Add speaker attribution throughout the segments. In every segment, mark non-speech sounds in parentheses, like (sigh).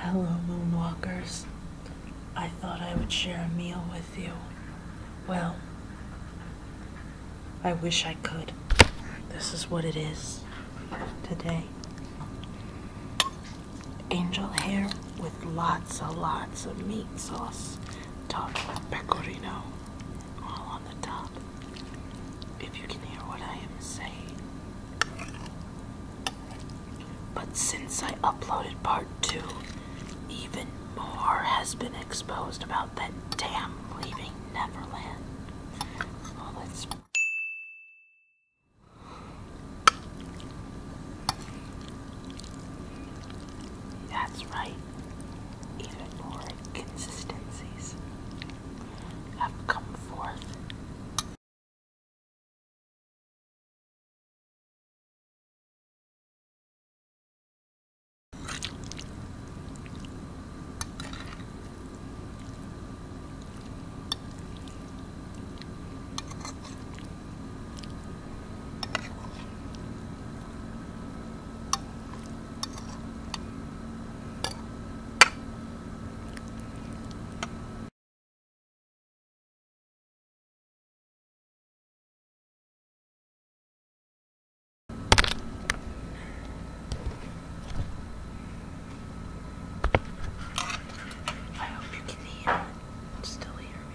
Speaker 1: Hello, Moonwalkers. I thought I would share a meal with you. Well, I wish I could. This is what it is today. Angel hair with lots and lots of meat sauce topped with pecorino all on the top. If you can hear what I am saying. But since I uploaded part two, even more has been exposed about that damn leaving Neverland. let's. That's right. Even more inconsistencies have come forth. I hope you can hear still here.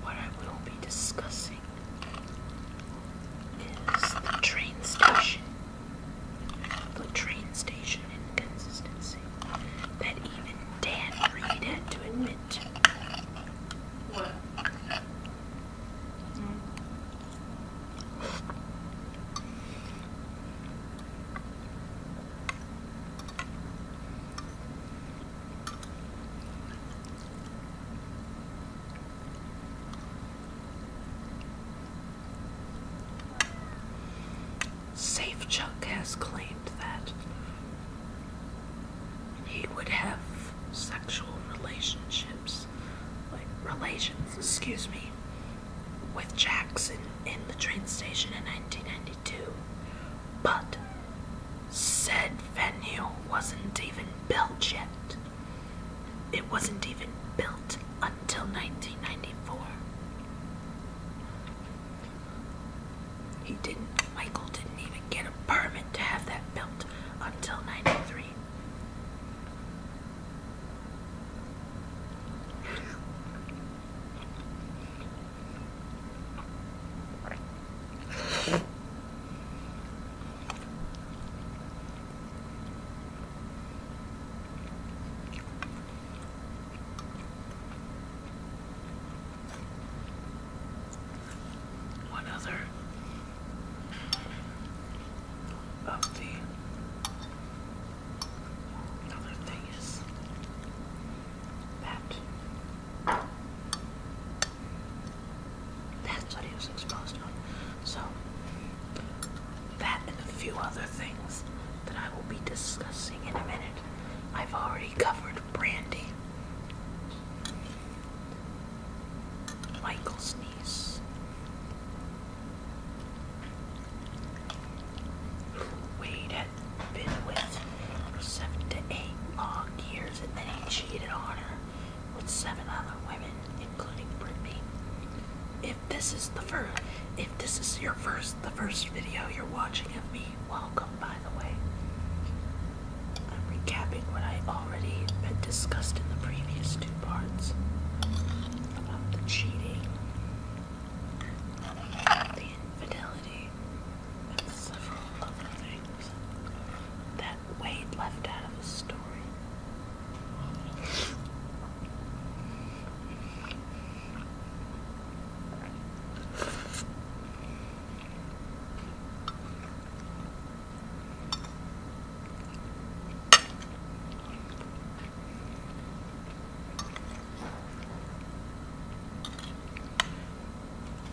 Speaker 1: What I will be discussing is the train station. The train station inconsistency that even Dan Reed had to admit to. Safe Chuck has claimed that he would have sexual relationships, like relations, excuse me, with Jackson in the train station in 1992 but said venue wasn't even built yet. It wasn't even built until 1994. He didn't, Michael didn't even get a permit to have that built until 93. One other of the other thing is that that's what he was exposed to. So, that and a few other things that I will be discussing in a minute. I've already covered Brandy, Michael's niece, who Wade had been with for seven to eight long years, and then he cheated on her with seven other women, including Britney. If this is the first, if this is your first, the first video you're watching of me, welcome. By the way, I'm recapping what I already had discussed in the previous two parts about the cheating, the infidelity, several other things that Wade left out of the story.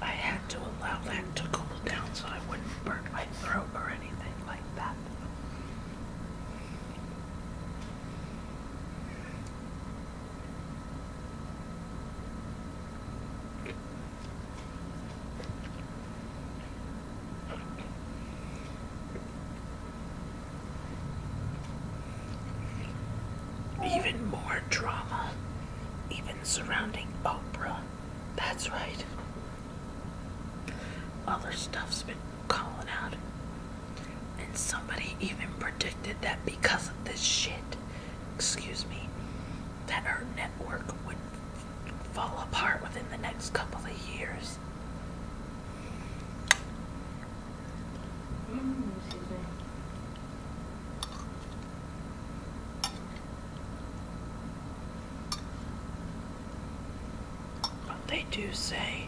Speaker 1: I had to allow that to cool down so I wouldn't burn my throat or anything like that. Even more drama even surrounding Oprah. That's right. Other stuff's been calling out. And somebody even predicted that because of this shit, excuse me, that her network would fall apart within the next couple of years. Mm, they do say,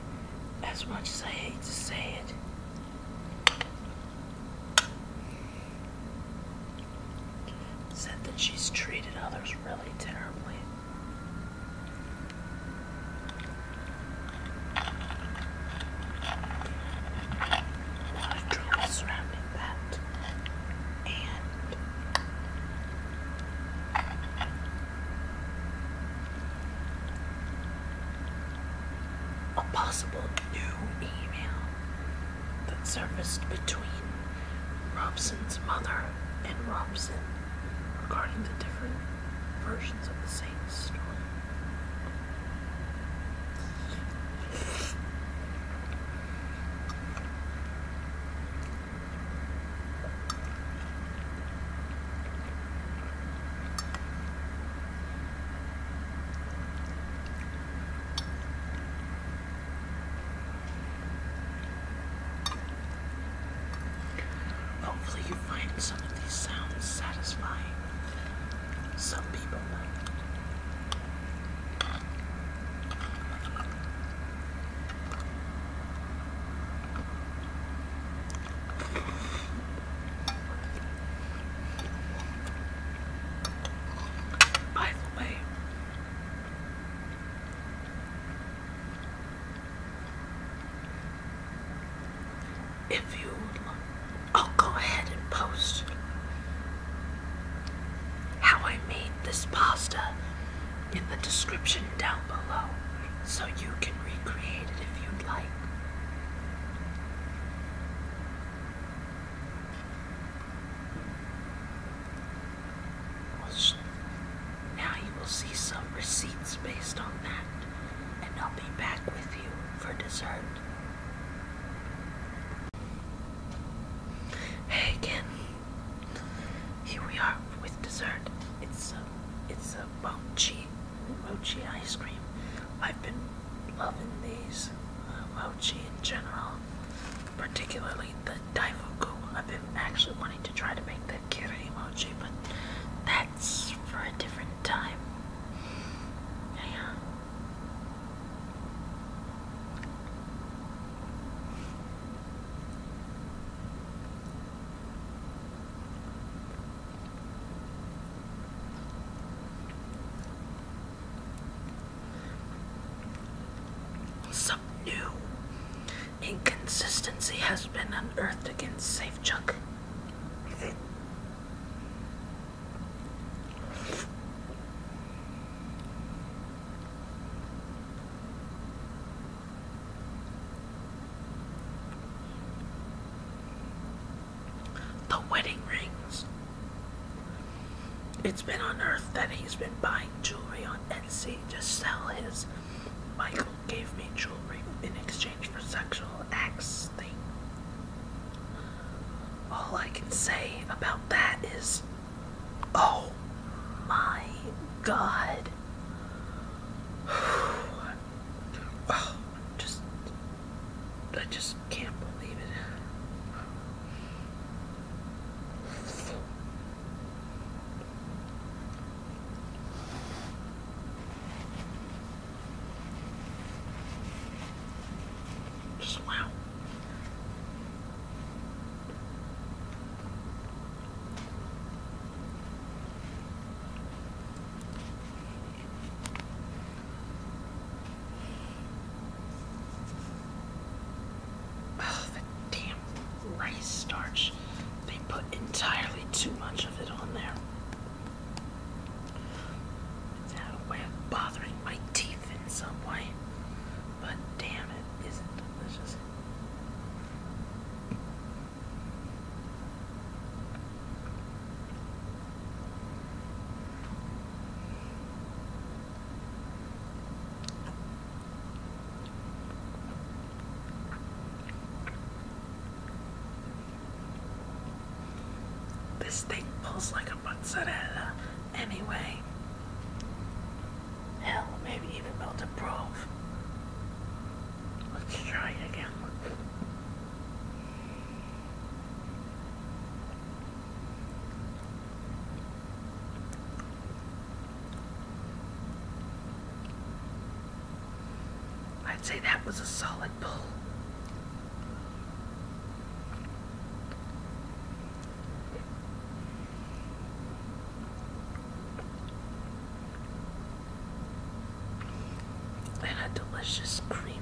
Speaker 1: as much as I hate to say it, said that she's treated others really terribly a possible new email that surfaced between Robson's mother and Robson regarding the different versions of the same insane story. Hopefully, you find some of these sounds satisfying some people might. By the way, if you I'll go ahead and post how I made this pasta in the description down below so you can recreate it if you'd like. Now you will see some receipts based on that, and I'll be back with you for dessert. Hey again. Here we are with dessert. It's a, it's a mochi, mochi ice cream. I've been loving these uh, mochi in general, particularly the Daifuku. I've been actually wanting to try to make that kiri mochi, but that for a different time. Yeah. Some new inconsistency has been unearthed against Safe SafeChuck. The wedding rings. It's been on Earth that he's been buying jewelry on Etsy to sell his Michael gave me jewelry in exchange for sexual acts thing. All I can say about that is, oh my god. Oh, (sighs) just, I just can't believe it wow. Oh, the damn rice starch. They put entirely too much of it on there. That way of bothering my teeth in some way. But damn it, isn't delicious. This thing pulls like a mozzarella anyway. Hell, maybe even Meltaproof. Let's try it again. I'd say that was a solid pull. And a delicious, creamy,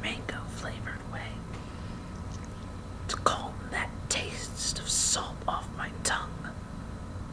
Speaker 1: mango flavored way to calm that taste of salt off my tongue.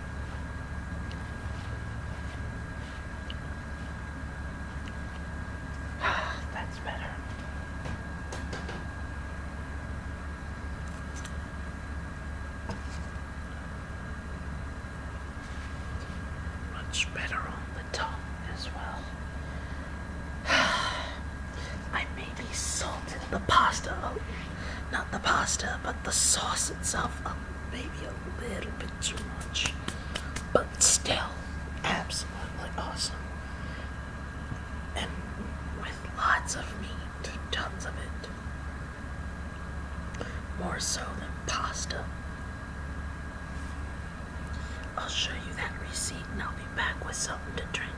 Speaker 1: (sighs) That's better. Much better on the tongue as well. (sighs) I maybe salted the pasta oh, not the pasta, but the sauce itself. Uh, maybe a little bit too much. But still, absolutely awesome. And with lots of meat, tons of it. More so than pasta. I'll show you that receipt and I'll be back with something to drink.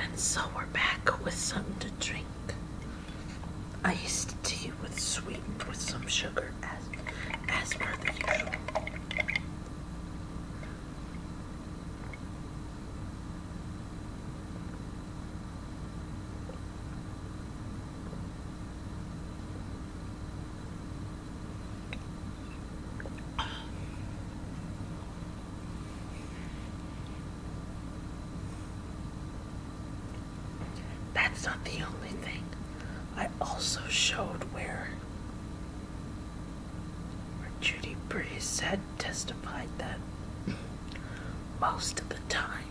Speaker 1: And so we're back with something to drink. I used with sweetened with some sugar as as per the usual. That's not the only thing. I also showed where where Judy Breeze had testified that most of the time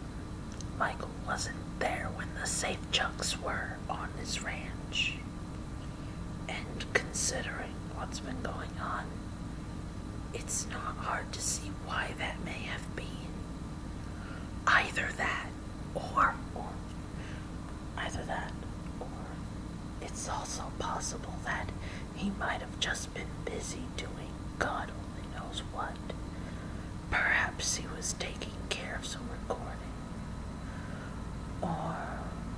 Speaker 1: Michael wasn't there when the safe chucks were on this ranch. And considering what's been going on, it's not hard to see why that may have been. Either that, or, either that, or it's also possible that he might have just been busy doing God only knows what. Perhaps he was taking care of some recording, or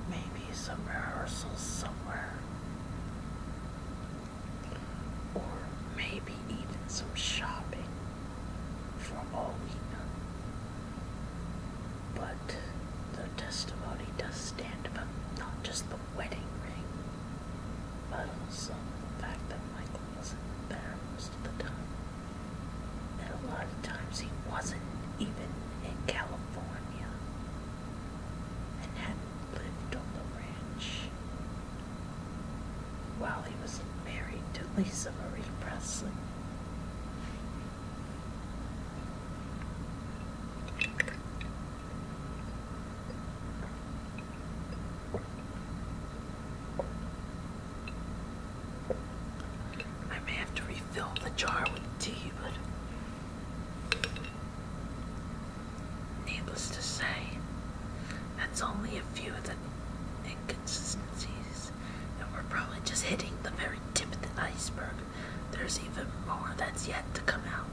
Speaker 1: maybe some rehearsals somewhere, or maybe even some shopping from all we know. But the testimony does stand about not just the wedding ring, but also the fact that Michael wasn't there most of the time. And a lot of times he wasn't even in California and hadn't lived on the ranch while he was married to Lisa Marie Presley. I may have to refill the jar with tea, but needless to say, that's only a few of the inconsistencies, and we're probably just hitting the very tip of the iceberg. There's even more that's yet to come out.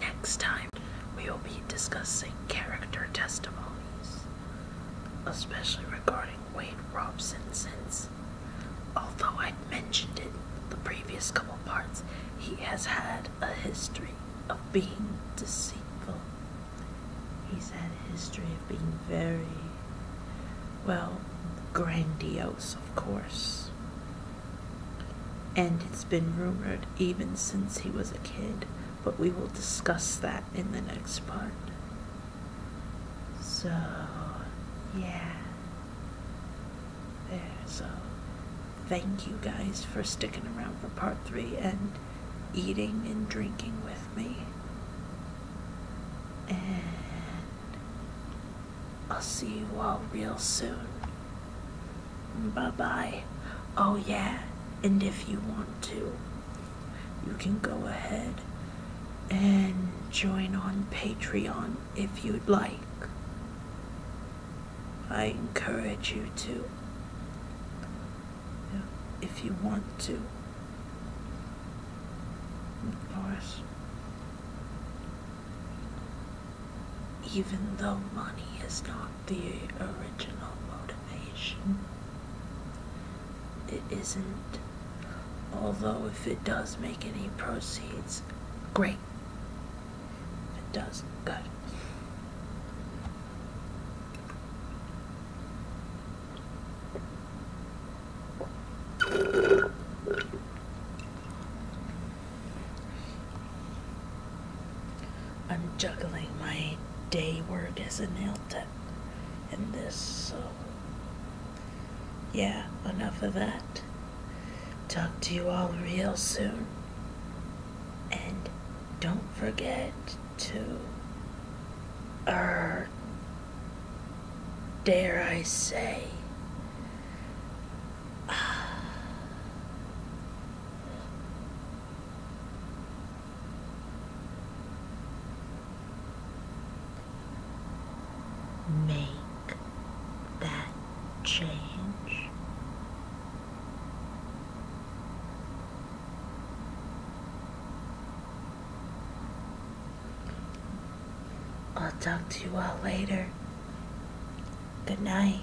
Speaker 1: Next time, we will be discussing character testimonies, especially regarding Wade Robson, since although I mentioned it the previous couple parts, he has had a history of being deceitful. He's had a history of being very, well, grandiose, of course. And it's been rumored even since he was a kid, but we will discuss that in the next part. So, yeah there. So, thank you guys for sticking around for part three and eating and drinking with me. And I'll see you all real soon. Bye bye. Oh, yeah, and if you want to, you can go ahead and join on Patreon if you'd like. I encourage you to, if you want to. Of course, even though money is not the original motivation, it isn't. Although if it does make any proceeds, great. It does. Good. I'm juggling my day work as a nail tech and this, so yeah, enough of that. Talk to you all real soon. And don't forget to. Er. Dare I say make that change. I'll talk to you all later. Good night.